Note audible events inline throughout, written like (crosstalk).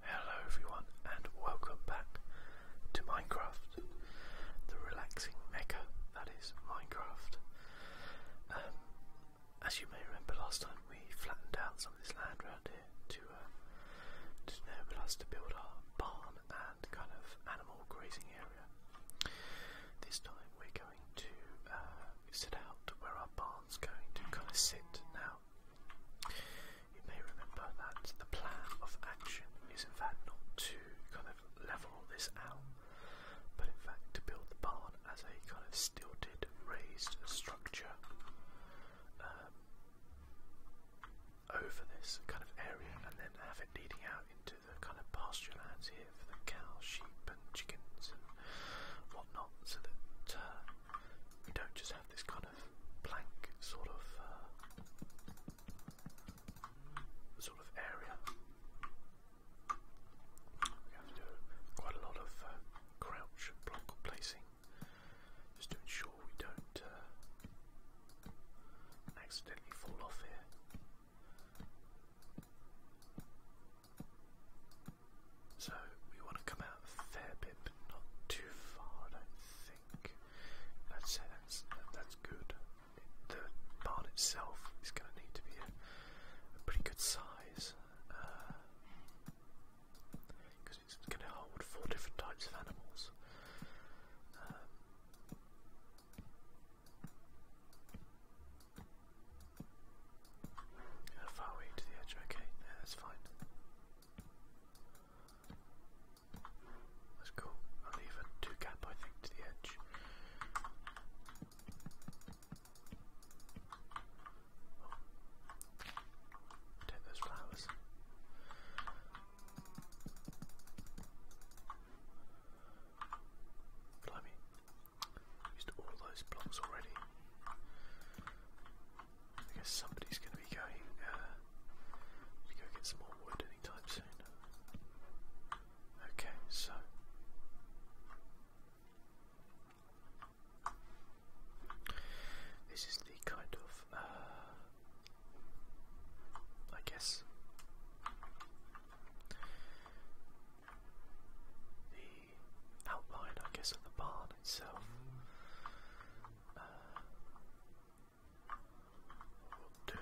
Hello everyone and welcome back to Minecraft, the relaxing mecca that is Minecraft. Um, as you may remember last time we flattened out some of this land around here uh, to, enable us to build our barn and kind of animal grazing area. This time we're going to uh, set out where our barn's going to kind of sit now. You may remember that the plan of action is in fact not to kind of level all this out, but in fact to build the barn as a kind of stilted, raised structure um, over this kind of area, and then have it leading out into the kind of pasture lands here for the cows, sheep, and chickens and whatnot, so that uh, we don't just have this kind of blank sort of uh, sort of area. We have to do quite a lot of uh, crouch block placing just to ensure we don't uh, accidentally fall off here. So we want to come out a fair bit not too far, I think. i that's, that's good. The barn itself is going to need to be a, pretty good size because it's going to hold four different types of animals. far are to the edge? Okay, yeah, that's fine. Let's go. I'll leave a two gap, I think, to the edge. Oh. Take those flowers. Blimey. Used all those blocks already. I guess somebody's going to be going to uh, go get some more wood anytime soon. Okay, so. This is the kind of, uh, I guess, the outline, I guess, of the barn itself uh, we'll do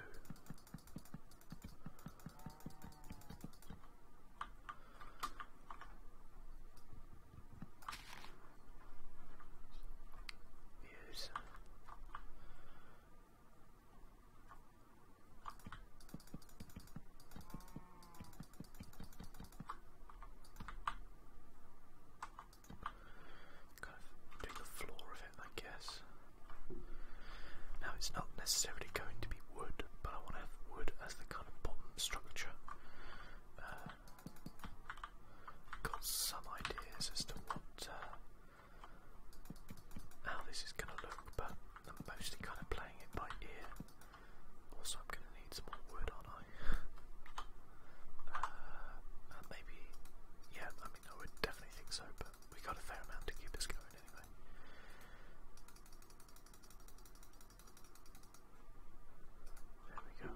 use Kind of do the floor of it, I guess. Now it's not necessarily going to be wood, but I want to have wood as the kind of bottom structure. Uh, got some ideas as to what uh, how this is going to look, but I'm mostly kind of playing it by ear. Also, I'm going to need some more wood, aren't I? Uh, maybe, yeah, I mean, I would definitely think so, but we got a fair amount to keep this going anyway. There we go.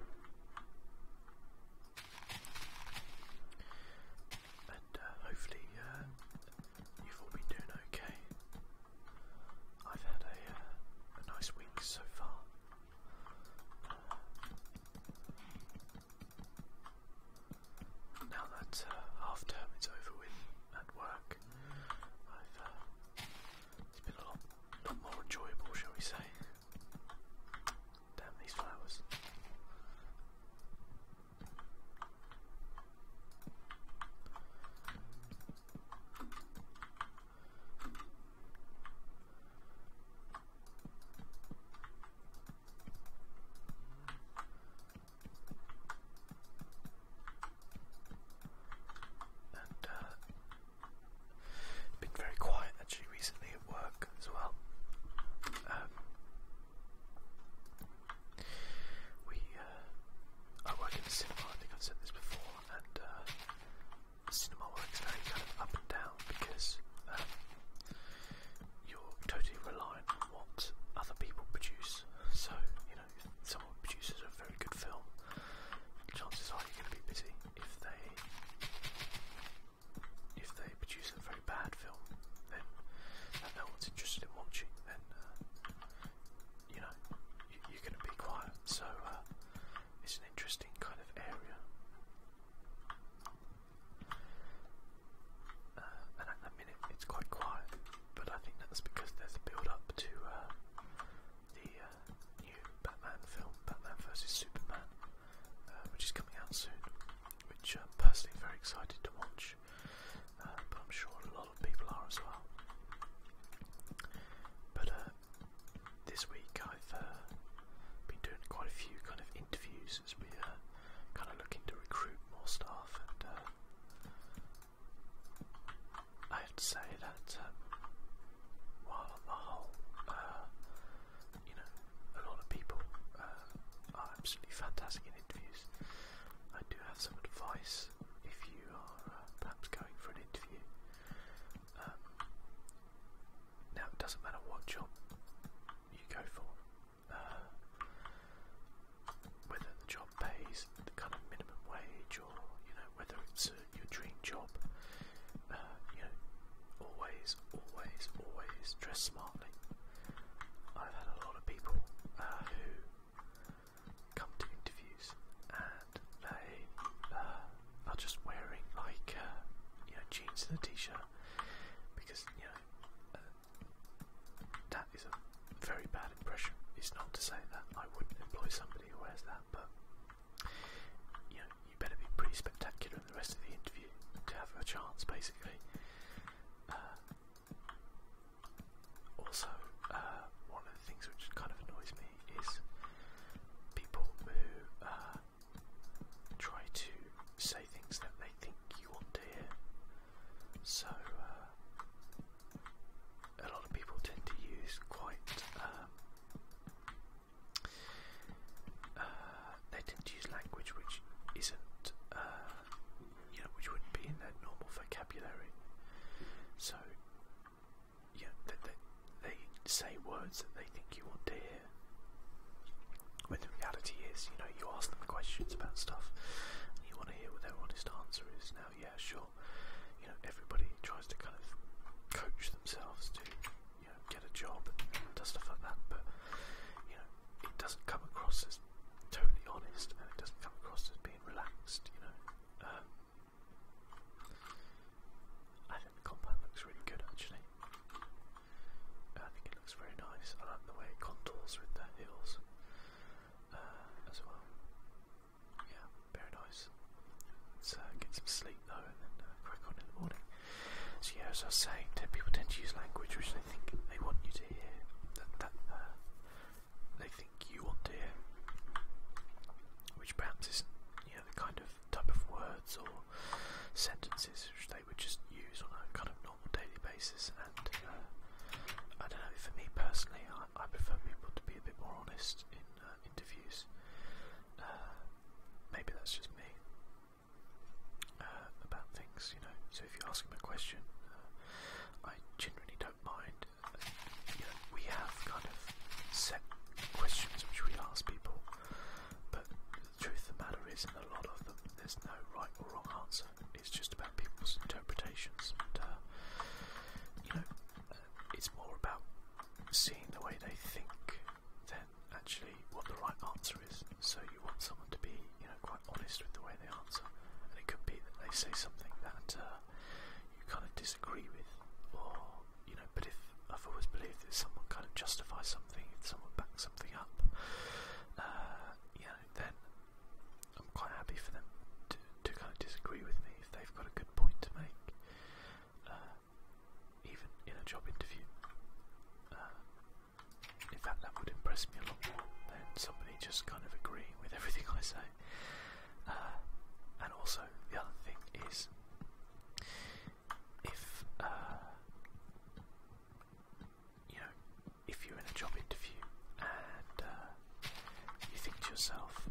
And uh, hopefully uh, you've all been doing okay. I've had a nice week so far. Now that uh, half term is over with at work, uh, it's been a lot, lot more enjoyable, shall we say. Damn these flowers. And uh, been very quiet actually recently at work as well. Um, we, uh, I in cinema. I think I've said this before, uh, cinema works very kind of up and down because um, you're totally reliant on what other people produce. So, you know, if someone produces a very good film, chances are you're going to be busy. If they if they produce a very bad film, then no one's interested in watching, then uh, you know you, are going to be quiet. So uh, it's an interesting kind of area. Uh, and at the minute it's quite quiet, but I think that's because there's a build up to uh, the uh, new Batman film, Batman vs Superman, which is coming out soon, which I'm personally very excited to watch, but I'm sure a lot of people are as well. But this week I've uh, been doing quite a few kind of interviews as we are uh, kind of looking to recruit more staff, and uh, I have to say that um, while the whole, you know, a lot of people are absolutely fantastic in interviews, I do have some advice if you are perhaps going for an interview. Um, now it doesn't matter what job you go for, uh, whether the job pays the kind of minimum wage or you know whether it's uh, your dream job. Uh, you know, always, always, always dress smartly. I've had a lot of people who come to interviews and they are just wearing like uh, you know jeans and a t-shirt because you know uh, that is a very bad impression. It's not to say that I wouldn't employ somebody who wears that, but you know you better be pretty spectacular in the rest of the interview to have a chance, basically. Uh, also, uh, one of the things which kind of annoys me is people who uh, try to say things that they think you want to hear. So, uh, a lot of people tend to use quite, um, uh, they tend to use language which isn't, uh, you know, which wouldn't be in their normal vocabulary. So, yeah, they, they, they say words that they think you want to hear. When the reality is, you know, you ask them questions about stuff, and you want to hear what their honest answer is. Now, yeah, sure, you know, everybody tries to kind of coach themselves to, you know, get a job and, and does stuff like that, but you know, it doesn't come across as totally honest, and it doesn't come across as being relaxed. You know, um, I think the compound looks really good actually. I think it looks very nice. I like the way it contours with the hills uh, as well. Yeah, very nice. Let's uh, get some sleep though and then uh, crack on in the morning. So yeah, as I was saying, people tend to use language which they think they want you to hear, that, that they think you want to hear, which perhaps isn't you the kind of type of words or sentences which they would just use on a kind of normal daily basis. And uh, I don't know. For me personally, I, I prefer people to be a bit more honest in uh, interviews. Uh, maybe that's just me uh, about things, you know. So if you ask them a question, uh, I generally don't mind. Uh, you know, we have kind of set questions which we ask people, but the truth of the matter is, in a lot of them, there's no right or wrong answer. It's just about people's interpretations. And, uh, you know, uh, it's more about seeing the way they think than actually what the right answer is. So you want someone to be, you know, quite honest with the way they answer. And it could be that they say something that uh, you kind of disagree with, or you know, but if I've always believed that someone kind of justifies something, if someone backs something up, uh, you know, then I'm quite happy for them to, kind of disagree with me if they've got a good point to make, uh, even in a job interview. Uh, in fact, that would impress me a lot more than somebody just kind of agreeing with everything I say. and also, the other thing is, if uh, you know if you're in a job interview and uh, you think to yourself,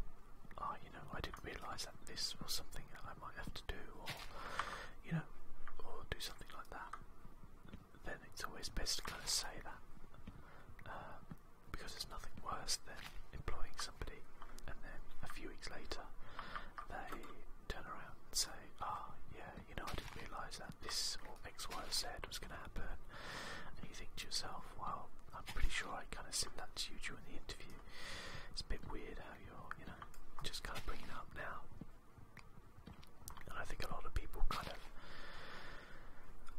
oh, you know, I didn't realise that this was something that I might have to do, or you know, or do something like that. Then it's always best to kind of say that um, because there's nothing worse than employing somebody and then a few weeks later they turn around and say, ah, oh, yeah, you know, I didn't realise that this or X, Y, or Z was going to happen. And you think to yourself, well, I'm pretty sure I kind of said that to you during the interview. It's a bit weird how you're, you know, just kind of bringing it up now. And I think a lot of people kind of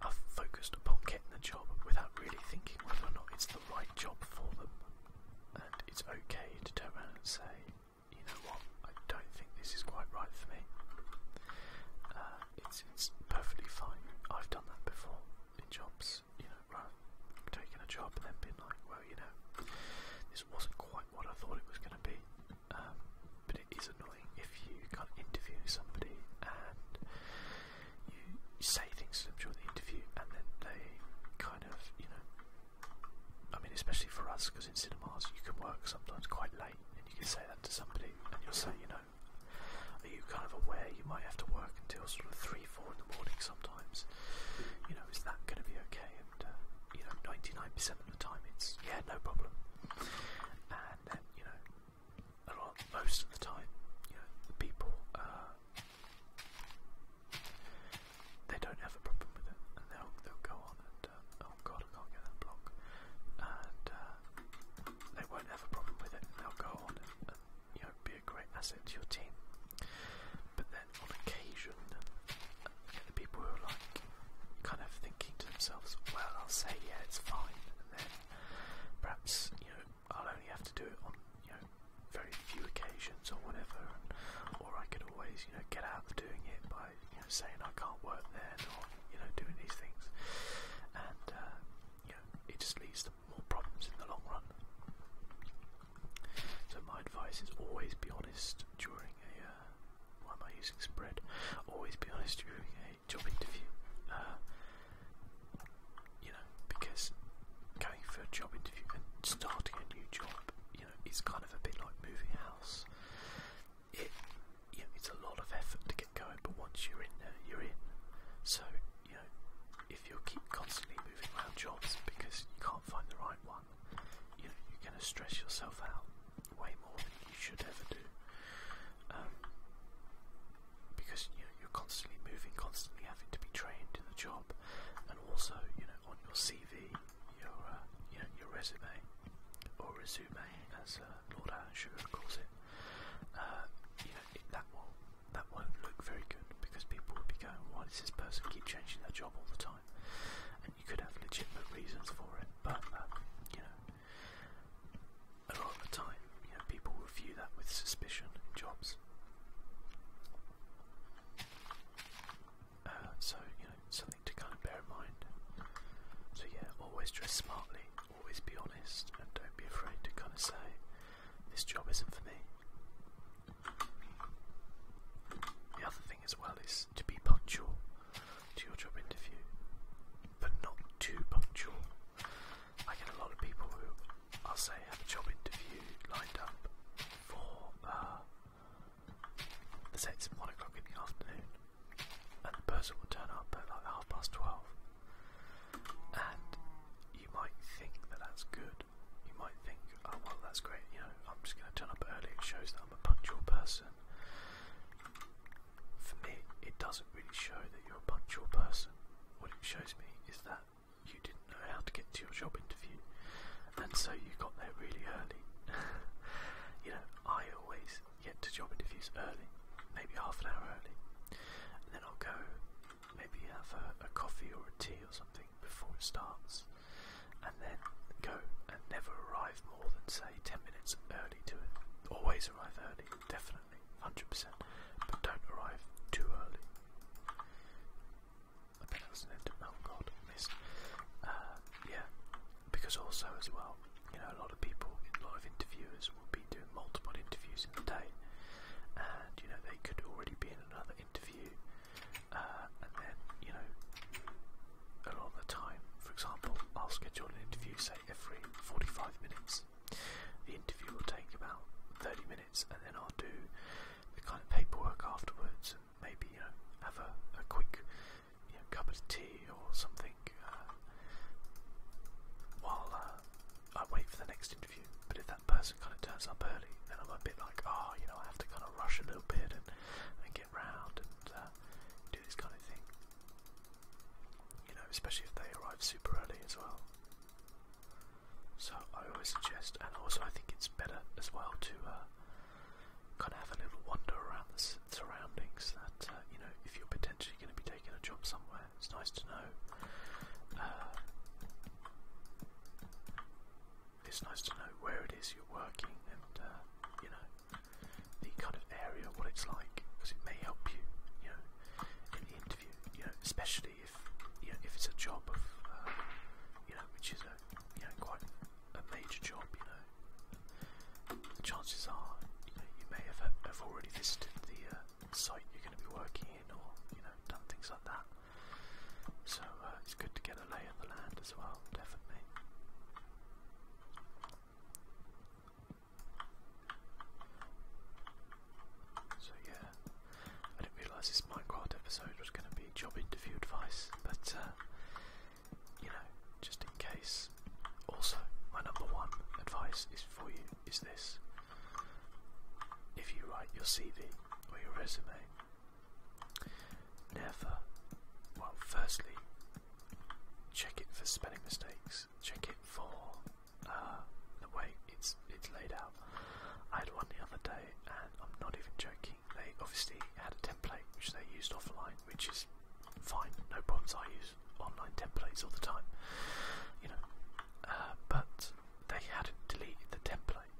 are focused upon getting the job without really thinking whether or not it's the right job for them and it's okay to turn around and say, you know what, I don't think this is quite right for me. Uh, it's, perfectly fine. I've done that before in jobs, you know, right? Taking a job and then being like, well, you know, this wasn't quite what I thought it was going to be. Um, but it is annoying if you can't interview somebody and you say things to during the interview and then they kind of, you know, I mean, especially for us, because in cinemas you can work sometimes quite late, and you can say that to somebody, and you'll say, you know, are you kind of aware you might have to work until sort of three, four in the morning sometimes? You know, is that going to be okay? And uh, you know, ninety-nine percent of the time, it's yeah, no problem. And then you know, a lot, most of the time, you know, the people uh, they don't have a problem with it, and they'll they'll go on and uh, oh god, I can't get that block, and uh, they won't have a problem with it, and they'll go on and, and you know be a great asset to your team. But then on occasion, uh, you know, the people who are like kind of thinking to themselves, well, I'll say yeah, it's fine, and then perhaps you know I'll only have to do it on you know know, very few occasions or whatever, or I could always, you know, get out of doing it by, you know, saying I can't work then or, you know, doing these things. And, uh, you know, it just leads to more problems in the long run. So my advice is always be honest during a, uh, why am I using spread? Always be honest during a job interview. Uh, you know, because going for a job interview and starting a new job, you know, it's kind of a bit like moving house. It, you know, it's a lot of effort to get going, but once you're in there, you're in. So, you know, if you keep constantly moving around jobs because you can't find the right one, you know, you're going to stress yourself out way more than you should ever do. Um, because you know, you're constantly moving, constantly having to be trained in the job, and also you know on your CV, your uh, you know, your resume or resume as uh, Lord Alan Sugar calls it, uh, you know it, that will that won't look very good because people will be going, why does this person keep changing their job all the time? And you could have legitimate reasons for it, but um, you know a lot of the time, you know people will view that with suspicion in jobs. Uh, so, you know, something to kind of bear in mind. So, yeah, always dress smartly, always be honest, and don't be afraid to kind of say, this job isn't for me. The other thing as well is to be punctual to your job interview, but not too punctual. I get a lot of people who I'll say have a job interview lined up for uh, the say it's one o'clock in the afternoon, and the person will turn up at like half past twelve, and you might think that that's good. You might think, oh, well, that's great. You know, I'm just going to turn up early. It shows that I'm a punctual person. For me, it doesn't really show that you're a punctual person. What it shows me is that you didn't know how to get to your job interview, and so you got there really early. (laughs) you know, I always get to job interviews early, maybe half an hour early, and then I'll go maybe have a, a coffee or a tea or something before it starts, and then go and never arrive more than say 10 minutes early to it. Always arrive early, definitely, 100%, but don't arrive too early. I bet that's an end oh god, missed. yeah, because also as well, you know, a lot of people, a lot of interviewers will be doing multiple interviews in the day, and you know they could already be in another interview, uh, and then you know, a lot of the time, for example, I'll schedule an interview say every 45 minutes. The interview will take about 30 minutes and then I'll do the kind of paperwork afterwards, and maybe have a, quick cup of tea or something uh, while uh, I wait for the next interview. But if that person kind of turns up early, then I'm a bit like, oh, you know, I have to kind of rush a little bit and, get round and uh, do this kind of thing. You know, especially if they arrive super early as well. So I always suggest, and also I think it's better as well to uh, kind of have a little wander around the surroundings. That uh, you know, if you're potentially going to be taking a job somewhere, it's nice to know. Uh, it's nice to know where it is you're working, and you know the kind of area, what it's like, because it may help you, you know, in the interview. You know, especially obviously if you know, if it's a job of uh, you know which is a you know quite a major job, you know the chances are you know you may have have already visited the uh, site you're going to be working in or you know done things like that. So uh, it's good to get a lay of the land as well, definitely. So yeah, I didn't realise this Minecraft episode was going to be job interview advice, but uh, you know, just in case. Also, my number one advice is for you is this: if you write your CV or your resume, never. Well, firstly, check it for spelling mistakes. Check it for uh, the way it's it's laid out. I had one the other day, and I'm not even joking. They obviously had a template which they used offline, which is fine, no problems. I use online templates all the time, you know. Uh, but they had deleted the template,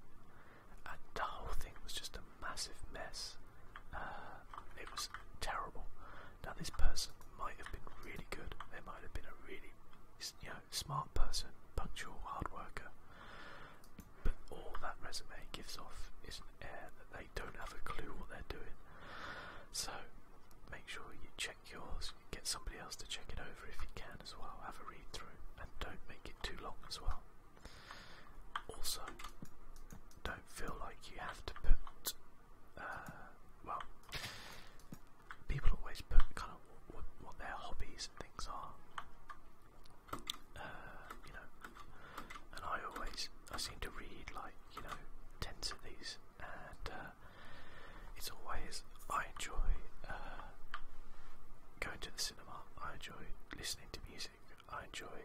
and the whole thing was just a massive mess. Uh, it was terrible. Now this person might have been really good. They might have been a really, you know, smart person, punctual, hard worker but all that resume gives off is an air that they don't have a clue what they're doing. So make sure you check yours, get somebody else to check it over if you can as well, have a read through, and don't make it too long as well. Also, don't feel like you have to put, uh, well, people always put kind of what, what their hobbies and things are uh, you know, and I always, I seem to read like, you know, tens of these, and uh, it's always, I enjoy uh, going to the cinema, I enjoy listening to music, I enjoy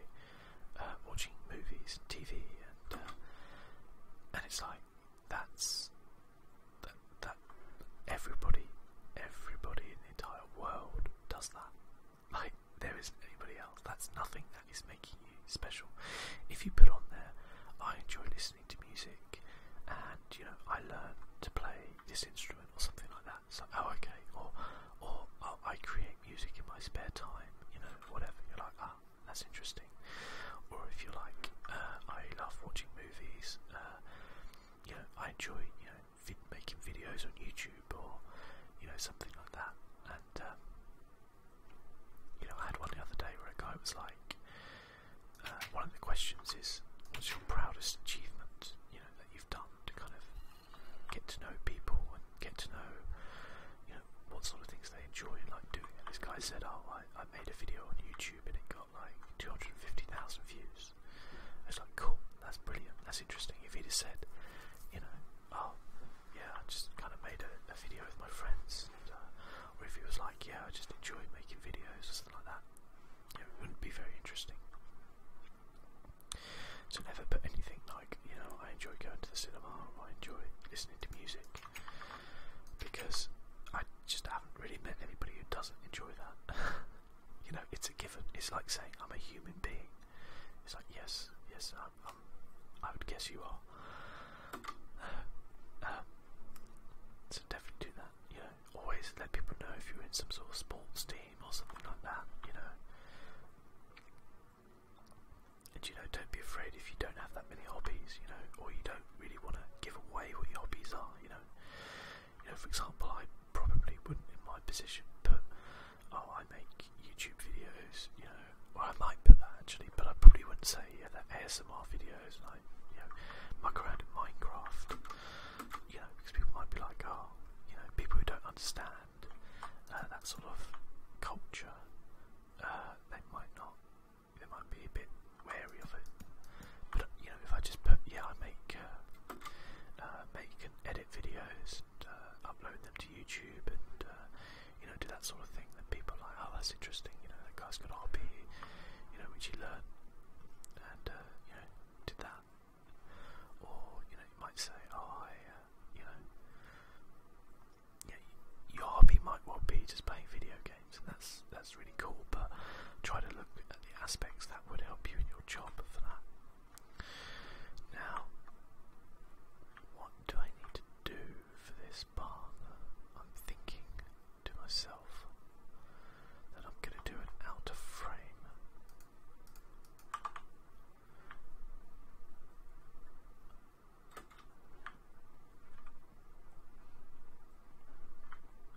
uh, watching movies and TV, and, uh, and it's like, that's, that, that everybody, everybody in the entire world does that. Like, there isn't anybody else. That's nothing that is making you special. If you put on there, I enjoy listening to music and, you know, I learn to play this instrument or something like that. So, oh, okay. Or, or oh, I create music in my spare time, you know, whatever. You're like, ah, that's interesting. Or if you like, uh, I love watching movies, uh, you know, I enjoy, you know, vid making videos on YouTube or you know something like that. And um, you know, I had one the other day where a guy was like, uh, one of the questions is, "What's your proudest achievement?" You know that you've done to kind of get to know people and get to know you know what sort of things they enjoy and like doing. And this guy said, "Oh, I, I made a video on YouTube and it got like 250,000 views." this. It's like, cool, that's brilliant, that's interesting. If he'd have said, you know, oh, yeah, I just kind of made a, a video with my friends, and, uh, or if he was like, yeah, I just enjoy making videos, or something like that, it wouldn't be very interesting. So never put anything like, you know, I enjoy going to the cinema, or I enjoy listening to music, because I just haven't really met anybody who doesn't enjoy that. (laughs) You know, it's a given. It's like saying I'm a human being. It's like yes, yes, I'm, I'm, I would guess you are. Uh, (sighs) um, so definitely do that. You know, always let people know if you're in some sort of sports team or something like that. You know, and you know, don't be afraid if you don't have that many hobbies. You know, or you don't really want to give away what your hobbies are. You know, you know, for example, I probably wouldn't in my position put, oh, I make YouTube videos, you know, well, I might put that actually, but I probably wouldn't say, yeah, that ASMR videos, and I, you know, muck around in Minecraft, you know, because people might be like, oh, you know, people who don't understand uh, that sort of culture, uh, they might not, they might be a bit wary of it. But you know, if I just put yeah, I make uh, uh, make and edit videos, and, uh, upload them to YouTube, and uh, you know, do that sort of thing, then people are like, oh, that's interesting. You know, that guy's got RP, you know, which he learned, and uh, you know, did that. Or you know, you might say, oh, I, uh, you know, yeah, your hobby might well be just playing video games, and that's that's really cool. But try to look at the aspects that would help you in your job for that. Now, what do I need to do for this partner? I'm thinking to myself that I'm going to do an outer frame.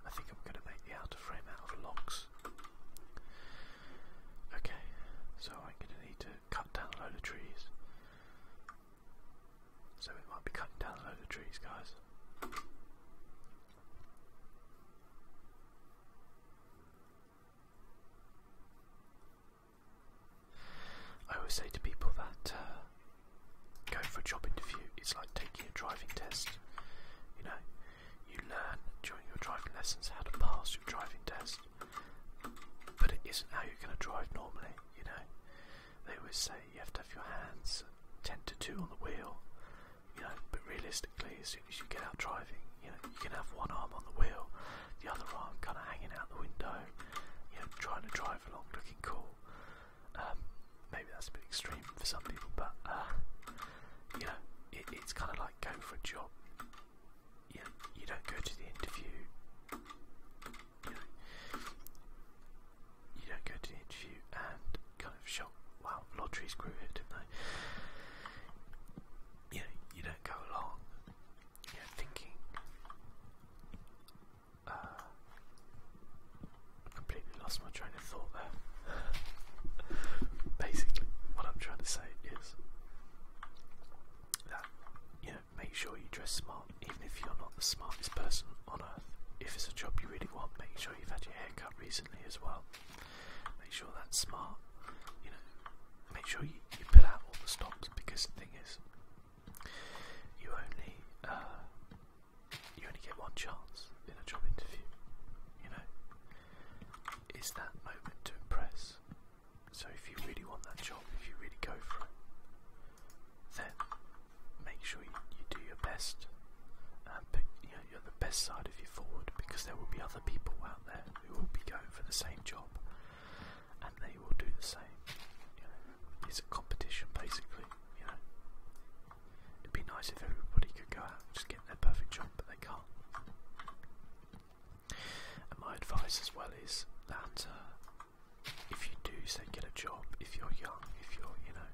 I think I'm going to make the outer frame out of logs. Okay, so I'm going to need to cut down a load of trees. So it might be cutting down a load of trees, guys. I always say to people that uh, going for a job interview is like taking a driving test. You know, you learn during your driving lessons how to pass your driving test, but it isn't how you're going to drive normally, you know. They always say you have to have your hands 10 to 2 on the wheel, you know, but realistically, as soon as you get out driving, you know, you can have one arm on the wheel, the other arm kind of hanging out the window, you know, trying to drive along looking cool. Um, maybe that's a bit extreme for some people, but uh, you know, it's kind of like going for a job. You, you don't go to the interview. You, don't go to the interview and kind of shock, wow, lottery screwed it, didn't they? You know, you don't go along, you are thinking uh, completely lost lost my train of thought there. (laughs) Basically, what I'm trying to say is that you know, make sure you dress smart, even if you're not the smartest person on earth. If it's a job you really want, make sure you've had your hair cut recently as well. Make sure that's smart. You know, make sure you, you put out all the stops because the thing is, you only uh, you only get one chance in a job interview. You know, is that moment to impress. So if you really want that job, if you really go for it, then make sure you, you do your best and pick, you know, you're the best side of you forward because there will be other people out there who will be going for the same job and they will do the same. You know, it's a competition basically, you know. It'd be nice if everybody could go out and just get their perfect job, but they can't. And my advice as well is that uh, if you do say get a job, if you're young, if you're, you know,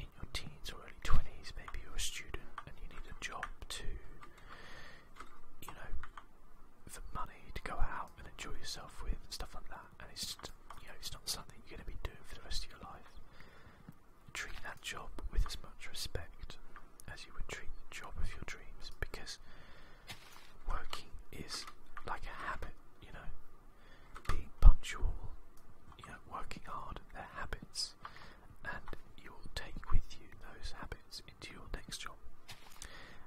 in your teens or early 20s, maybe you're a student and you need a job to, you know, for money to go out and enjoy yourself with and stuff like that. And it's just, you know, it's not something you're going to be doing for the rest of your life treat that job with as much respect as you would treat the job of your dreams because working is like a habit, you know. Being punctual, you know, working hard, they're habits, and you'll take with you those habits into your next job.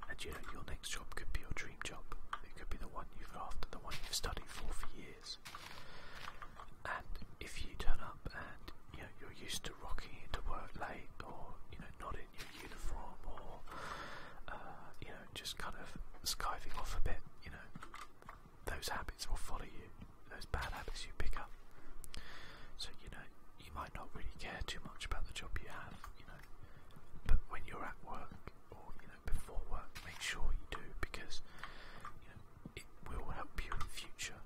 And you know, your next job could be your dream job. It could be the one you've after, the one you've studied for for years years. And if you turn up and you know, you're used to rocking into work late, or you know not in your uniform, or uh, you know just kind of skiving off a bit, you know those habits will follow you. Those bad habits you pick up. So you know you might not really care too much about the job you have, you know. But when you're at work or you know before work, make sure you do because you know it will help you in the future.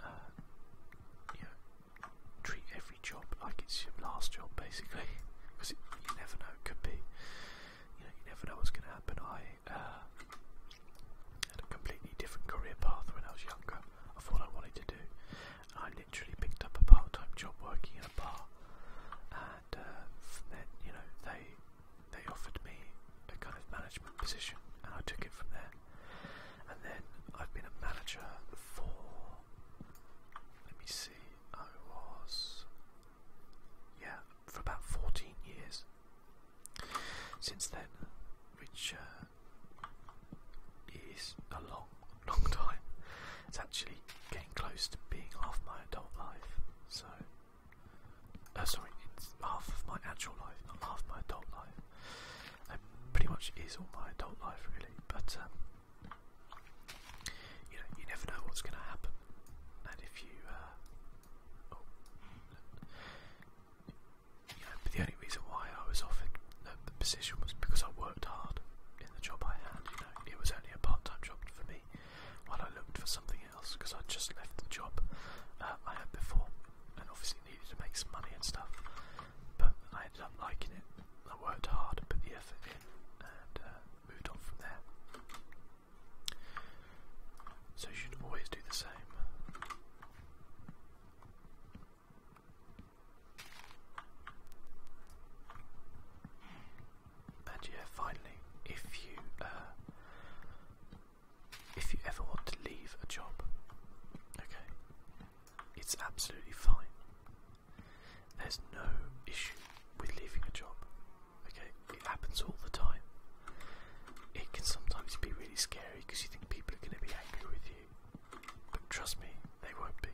Uh, you know, treat every job like it's your last job, basically, because (laughs) you never know. It could be, you know, you never know what's going to happen. I uh, had a completely different career path when I was younger. I thought I wanted to do. And I literally picked up a part-time job working in a bar, and uh, then you know they they offered me a kind of management position and I took it from there. And then I've been a manager for, let me see, I was, yeah, for about 14 years since then, which uh, is a long, long (laughs) time. It's actually getting close to being half my adult life, so uh, sorry, it's half of my actual life, not half my adult life. That pretty much is all my adult life, really. But um, you know, you never know what's going to happen, and if you, but uh, oh, the only reason why I was offered the, uh, the position was because I worked hard in the job I had. You know, it was only a part-time job for me while I looked for something because I just left the job uh, I had before and obviously needed to make some money and stuff. But I ended up liking it. I worked hard, put the effort in, and uh, moved on from there. So you should always do the same. And yeah, finally, if you uh, if you ever want to leave a job. Okay, it's absolutely fine. There's no issue with leaving a job. Okay, it happens all the time. It can sometimes be really scary because you think people are going to be angry with you, but trust me, they won't be.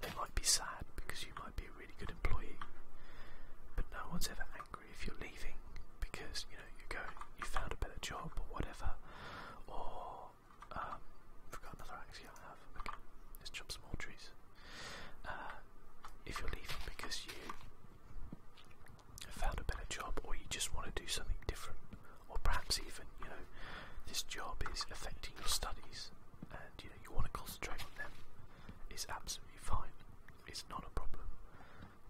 They might be sad because you might be a really good employee, but no one's ever angry if you're leaving because you know you go you found a better job or whatever, or forgot um, another axis I have. Okay, let's chop some more trees. Uh, if you're leaving because you found a better job or you just want to do something different, or perhaps even you know this job is affecting your studies and you know you want to concentrate on them, it's absolutely fine. It's not a problem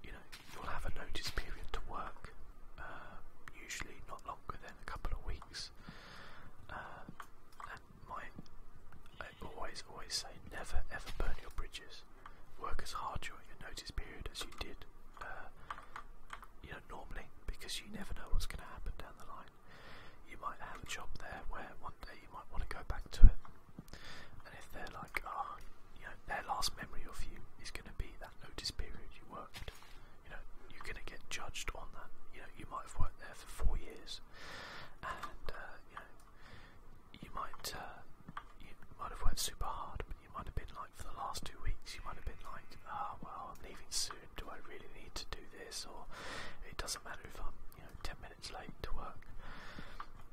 you know, you'll have a notice period to work, uh, usually not longer than a couple of weeks. Uh, and my, I always, always say never ever burn your bridges. Work as hard during your notice period as you did, uh, you know, normally, because you never know what's going to happen down the line. You might have a job there where one day you might want to go back to it, and if they're like, ah, oh, you know, their last memory of you is going to be that notice period you worked, you know, you're going to get judged on that. You know, you might have worked there for four years, and uh, you know, you might uh, you might have worked super hard, but you might have been like for the last two weeks, you might have been like, ah, oh, well, I'm leaving soon. Do I really need to do this? Or it doesn't matter if I'm, you know, ten minutes late to work.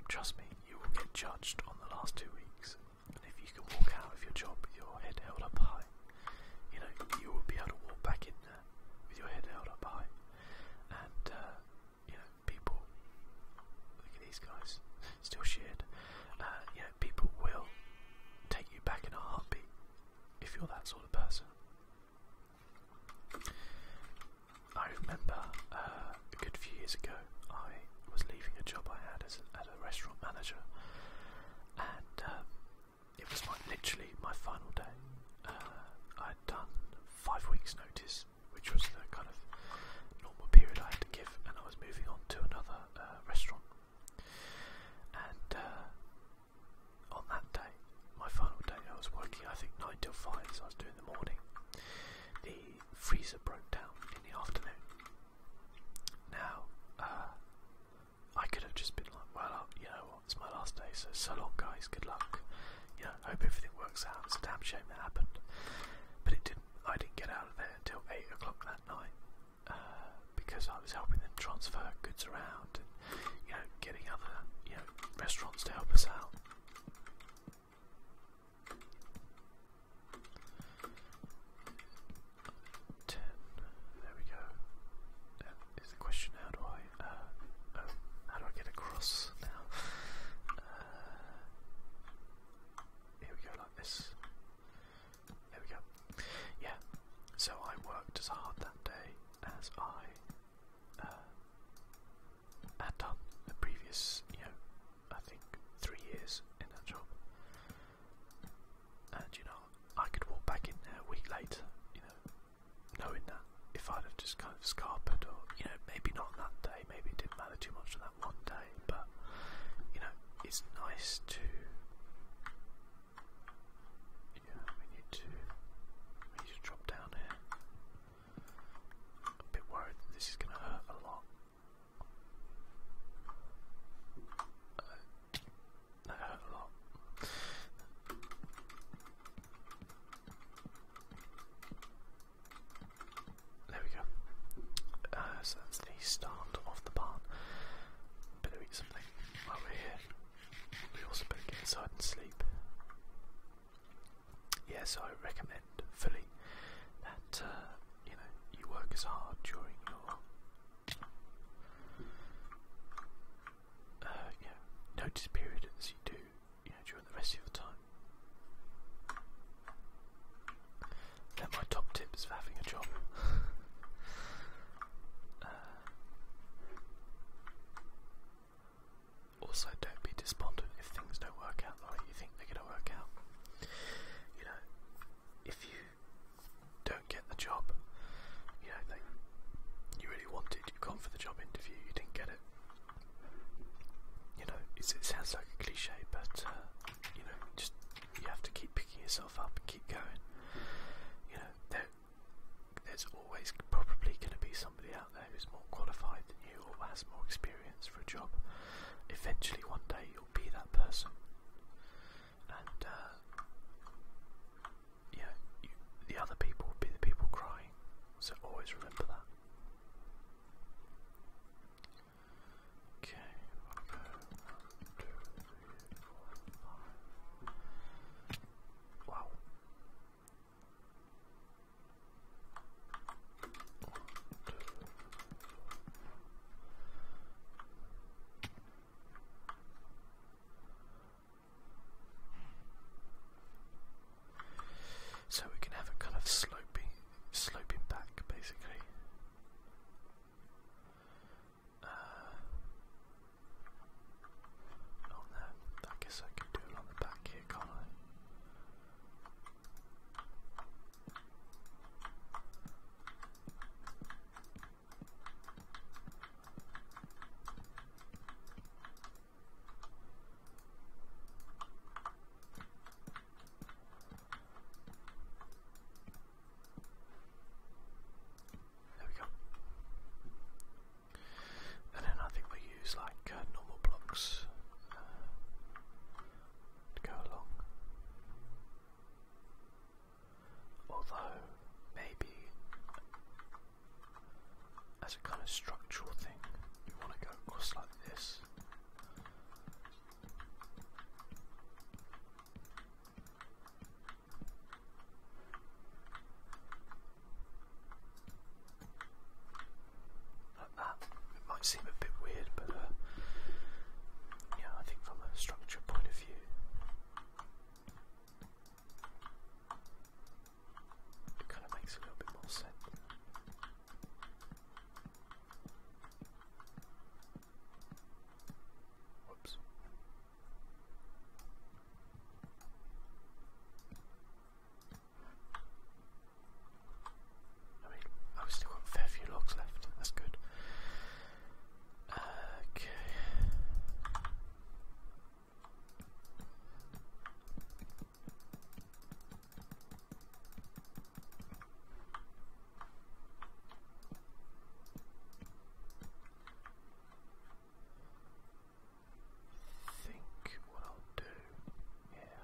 Trust me, you will get judged on the last two weeks. And if you can walk out of your job with your head held up high, you know, you will be able to walk back in there with your head held up high. And, uh, you know, people, look at these guys, still sheared. Uh, you know, people will take you back in a heartbeat if you're that sort of person. I remember uh, a good few years ago, I was leaving a job I had as a, restaurant manager, and um, it was my, literally my final day. Uh, I had done five weeks' notice, which was the kind of normal period I had to give, and I was moving on to another uh, restaurant. And on that day, my final day, I was working, I think, 9 till 5, so I was doing the morning freezer broke down in the afternoon. Now, uh, I could have just been like, well, you know it's my last day, so so long, guys, good luck. You know, hope everything works out. It's a damn shame that happened. But it didn't. I didn't get out of there until 8 o'clock that night uh, because I was helping them transfer goods around and, you know, getting other, you know, restaurants to help us out. Ten. There we go. That uh, is the question. How do I? Uh, oh, how do I get across now? Uh, here we go, like this. There we go. Yeah. So I worked as hard that day as I. Uh, had done the previous, you know, I think three years in that job. And you know, I could walk back in there a week later, you know, knowing that if I'd have just kind of scarpered or, you know, maybe not that day, maybe it didn't matter too much on that one day, but you know, it's nice to yeah, we need to we need drop down here. a bit worried that this is gonna hurt a lot. Uh, There we go. Uh, so that's the start of the barn. Better eat something while we're here. We also better get inside and sleep. Yes, I recommend fully that uh, you know you work as hard during your uh, you notice period as you do you during the rest of your time. they my top tips for having a job. (laughs) Uh, also, don't be despondent if things don't work out the way you think they're going to work out you know, if you don't get the job, you know, they, you really wanted, you've gone for the job interview, you didn't get it. You know, it sounds like a cliche, but uh, you know, just you have to keep picking yourself up and keep going. You know, there, there's always probably going to be somebody out there who's more qualified than you or has more experience, for a job. Eventually, one day, you'll be that person. And, uh, yeah, the other people will be the people crying. So always remember that. Okay, one, two, three, four, five. Wow. So we can have a kind of sloping, sloping back, basically. Uh, oh I guess I can do it on the back here, can't I? There we go. And then I think we use like uh, normal blocks. Uh, to go along. Although, maybe as a kind of structural thing, you want to go across like this. Like that. It might seem a bit weird, but uh, yeah, I think from a structure point of view, it kind of makes a little bit more sense. Whoops. I mean, I've still got a fair few logs left, that's good. Okay. think what I'll do, yeah,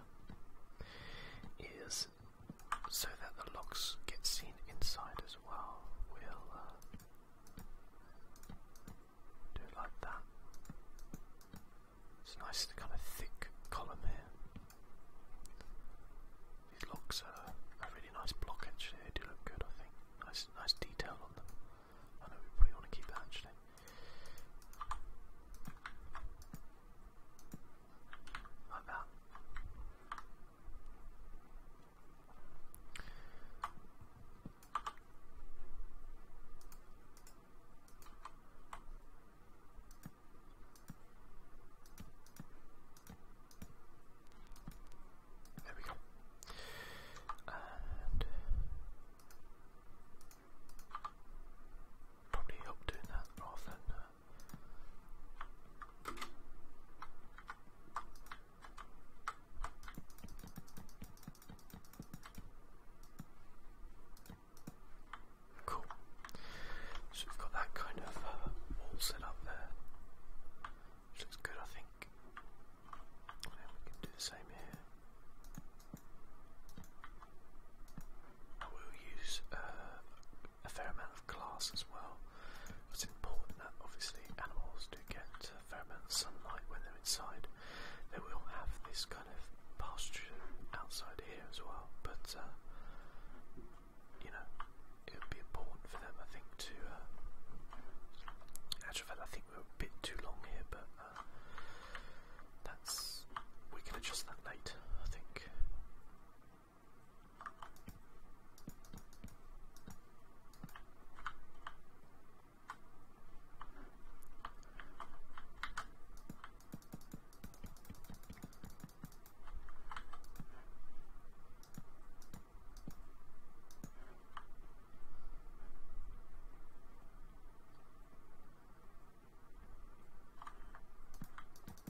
is so that the locks get seen inside as well. We'll uh, do it like that. It's nice, kind of thick column here. These locks are a really nice block actually, they do look good I think. Nice nice detail on them. I know we probably want to keep that actually about. There we go. And probably help doing that rather than uh, Cool. So we've got that kind of uh, wall set up there, looks good, I think. we can do the same here. I will use uh, a fair amount of glass as well. It's important that obviously animals do get a fair amount of sunlight when they're inside. They will have this kind of pasture outside here as well, but uh, you know, it would be important for them, I think, to. Uh, actually, I think we're a bit too long here, but uh, that's we can adjust that later, I think.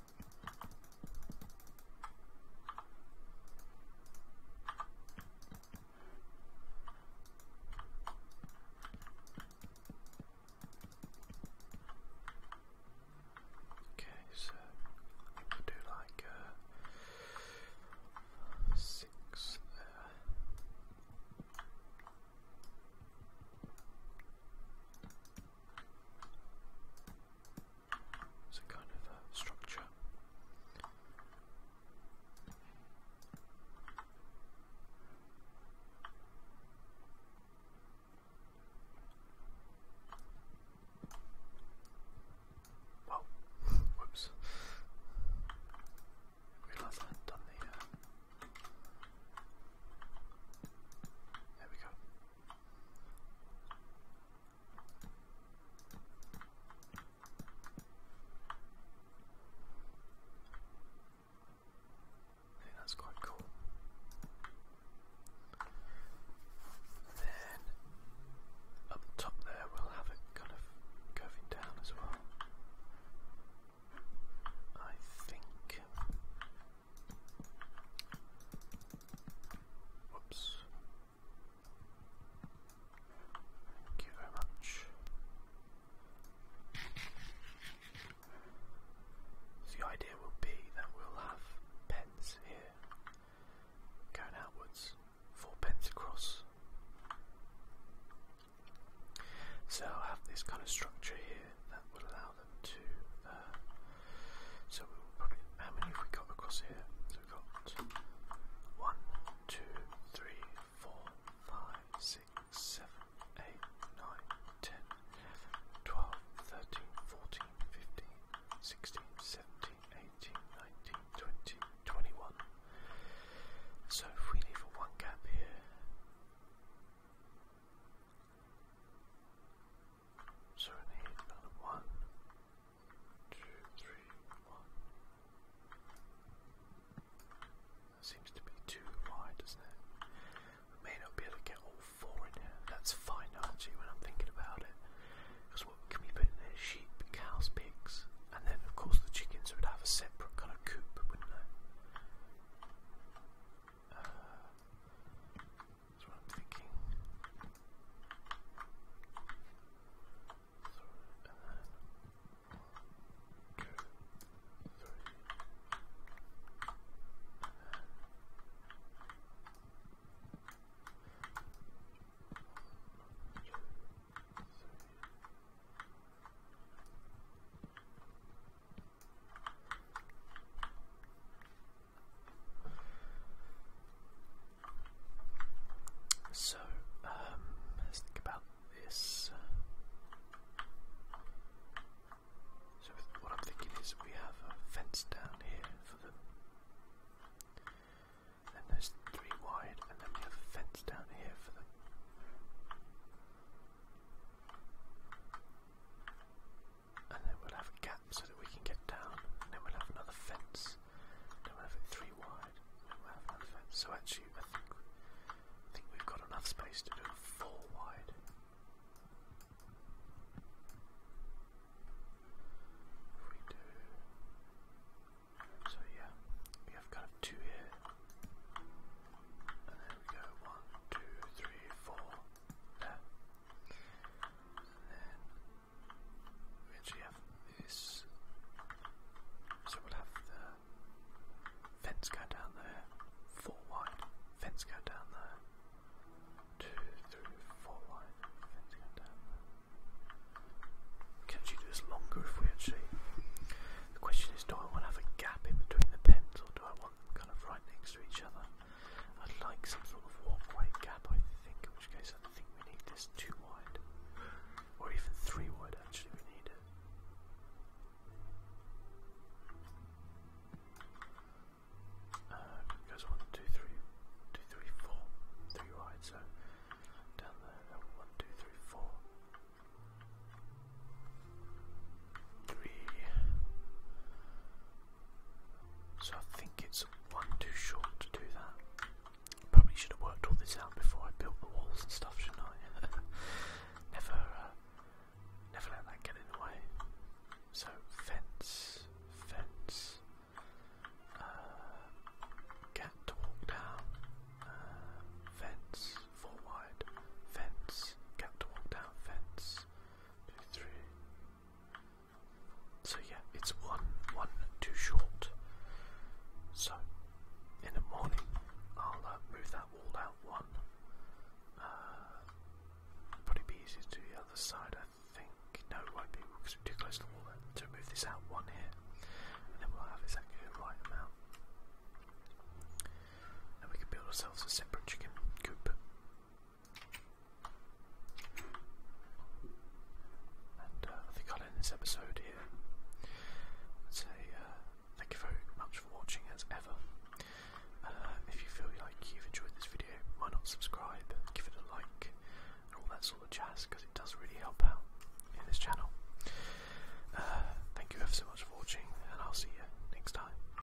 Okay, so we'll do like uh, six there. It's a kind of uh, structure. Well, (laughs) whoops. Realise I hadn't done the uh, there we go. I think that's quite cool. then up top there we'll have it kind of curving down as well. I think Whoops. Thank much. So the idea will be that we'll have pens here going outwards, four pens across. So I'll have this kind of structure here that will allow uh, so we will probably. How many have we got across here? So we've got one, two, three, four, five, six, seven, eight, nine, ten, eleven, twelve, thirteen, fourteen, fifteen, sixteen, seventeen, eighteen, nineteen, twenty, twenty-one. So if we leave a one gap here. So I need another one, two, three, one. seems to be too wide, doesn't it? may not be able to get all four in here. That's fine Archie. when I'm thinking about it. Because what can we put in there? Sheep, cows, pigs, and then of course the chickens would have a separate kind of coop, wouldn't they? That's what I'm thinking. So, and then one, two, three, and then one, two, three. So, um, let's think about this. Uh, so, what I'm thinking is we have a fence down here for them. Then there's three wide, and then we have a fence down here for them and then we'll have a gap so that we can get down, and then we'll have another fence, we'll have it three wide, So actually, I think, I think we've got enough space to do a four wide. If we do, so yeah, we have kind of two here, and then we go one, two, three, four. No. And then we actually have this. So we'll have the fence go down there, four wide, fence go down there, two, three, four wide, fence go down there. We do this longer if we actually. The question is do I want to have a gap in between the pens or do I want them kind of right next to each other? I'd like some sort of walkway gap, I think, in which case I think we need this too wide. Or even three wide, actually, we need it. Uh, it goes one, two, three, two, three, four, three wide, so down there, one, two, three, four three. So I think it's one too short to do that. Probably should have worked all this out before I built the walls and stuff, shouldn't I? (laughs) never, uh, never let that get in the way. So fence, fence, uh, get to walk down, uh, fence, four wide, fence, get to walk down, fence two, three. So yeah, it's one, one too short. So in the morning, I'll uh, move that wall out one. Uh, probably be easier to the other side, I think. No, it won't be because we're too close to the wall. Then to move this out one here, and then we'll have exactly the right amount. And we can build ourselves a separate chicken coop. And uh, I think I'll end this episode here. I'd say uh, thank you very much for watching as ever. Uh, if you feel like you've enjoyed this video, why not subscribe, give it a like, and all that sort of jazz because it does really help out in this channel. thank you ever so much for watching, and I'll see you next time.